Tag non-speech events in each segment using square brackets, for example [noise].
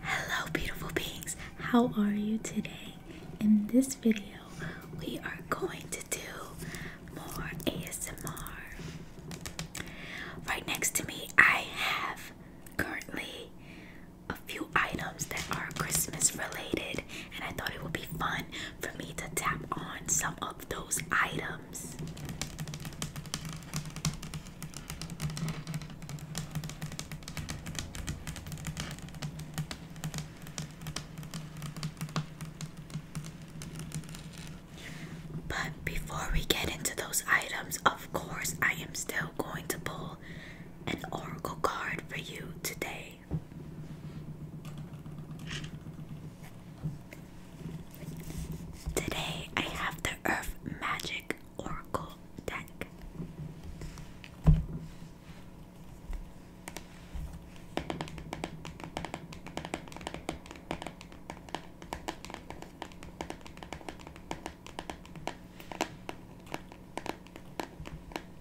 Hello, beautiful beings. How are you today? In this video, we are going to do more ASMR. Right next to me, I have currently a few items that are Christmas related, and I thought it would be fun for me to tap on some of those items. But before we get into those items, of course, I am still going to pull an oracle card for you today. Today I have the Earth Magic Oracle deck.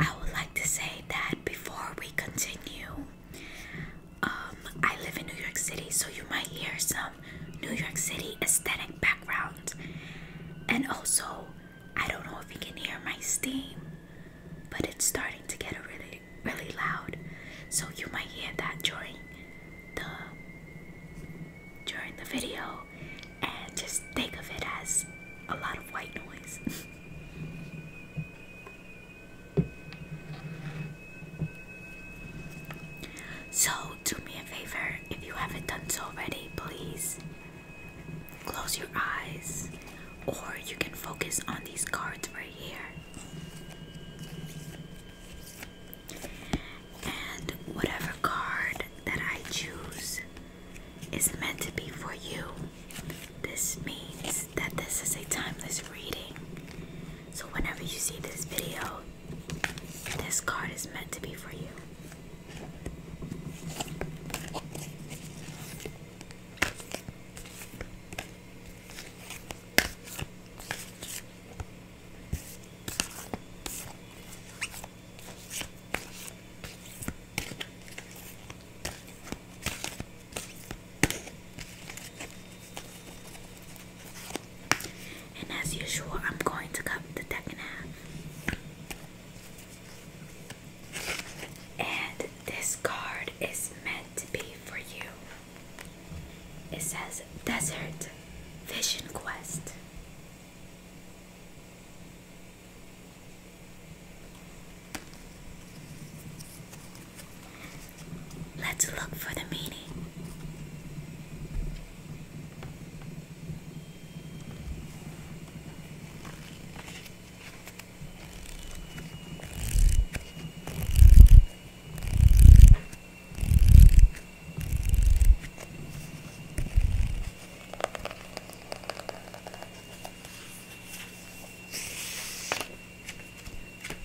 I would like to say that before we continue, um, I live in New York City, so you might hear some New York City aesthetic background. And also, I don't know if you can hear my steam, but it's starting to get really, really loud. So you might hear that during the during the video, and just think of it as a lot of white noise. [laughs] So, do me a favor if you haven't done so already, please close your eyes or you can focus on these cards right here. And whatever card that I choose is meant to be for you. This means that this is a timeless reading so whenever you see this video, this card is meant to be for you. And as usual, I'm going to cut the deck in half. And this card is meant to be for you. It says Desert Vision Quest. Let's look for the meaning.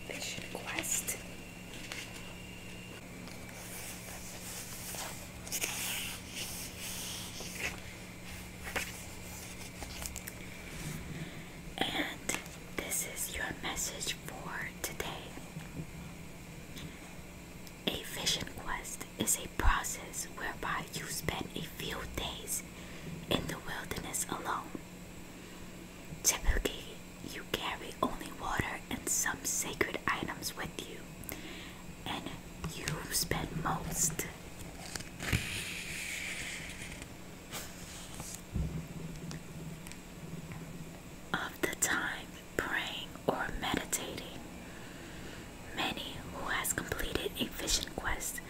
Mission Quest. And this is your message for today. A vision quest is a process whereby you spend a few days in the wilderness alone. Typically, you carry only water and some sacred items with you, and you spend most of the time praying or meditating. Many who has completed a vision quest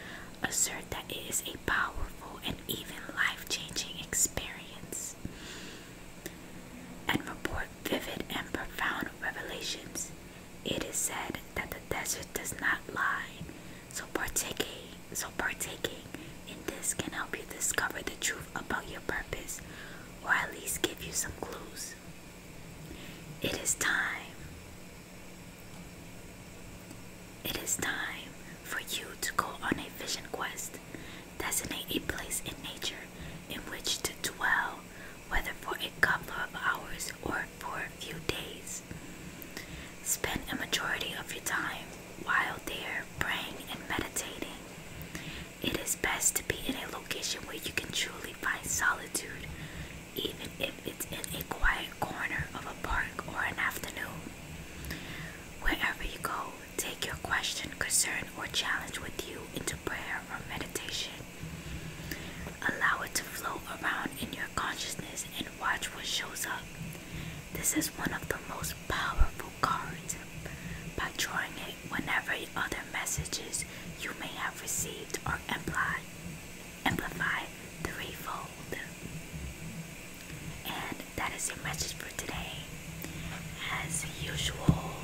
assert that it is powerful and even life changing experience and report vivid and profound revelations. It is said that the desert does not lie, so partaking, so partaking in this can help you discover the truth about your purpose or at least give you some clues. It is time. It is time for you to go on a vision quest. Designate a place in nature in which to dwell, whether for a couple of hours or for a few days. Spend a majority of your time while there praying and meditating. It is best to be in a location where you can truly find solitude, even if it's in a quiet corner of a park or an afternoon. Wherever you go, take your question, concern, or challenge with you into prayer or meditation. Allow it to flow around in your consciousness and watch what shows up. This is one of the most powerful cards. By drawing it whenever other messages you may have received are implied amplify threefold. And that is your message for today. As usual,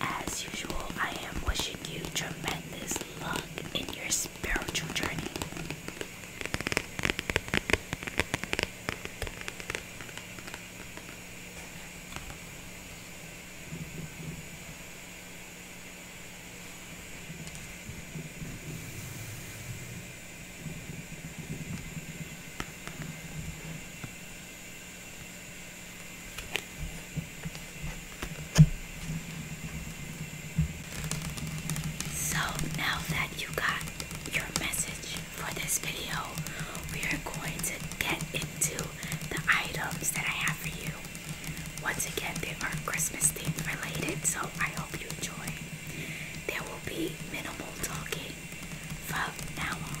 as usual, I am wishing you tremendous luck in your spiritual journey. So now that you got your message for this video, we are going to get into the items that I have for you. Once again, they are Christmas themed related, so I hope you enjoy. There will be minimal talking from now on.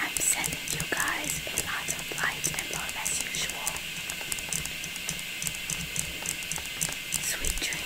I'm sending you guys a lot of light and love as usual. Sweet dreams.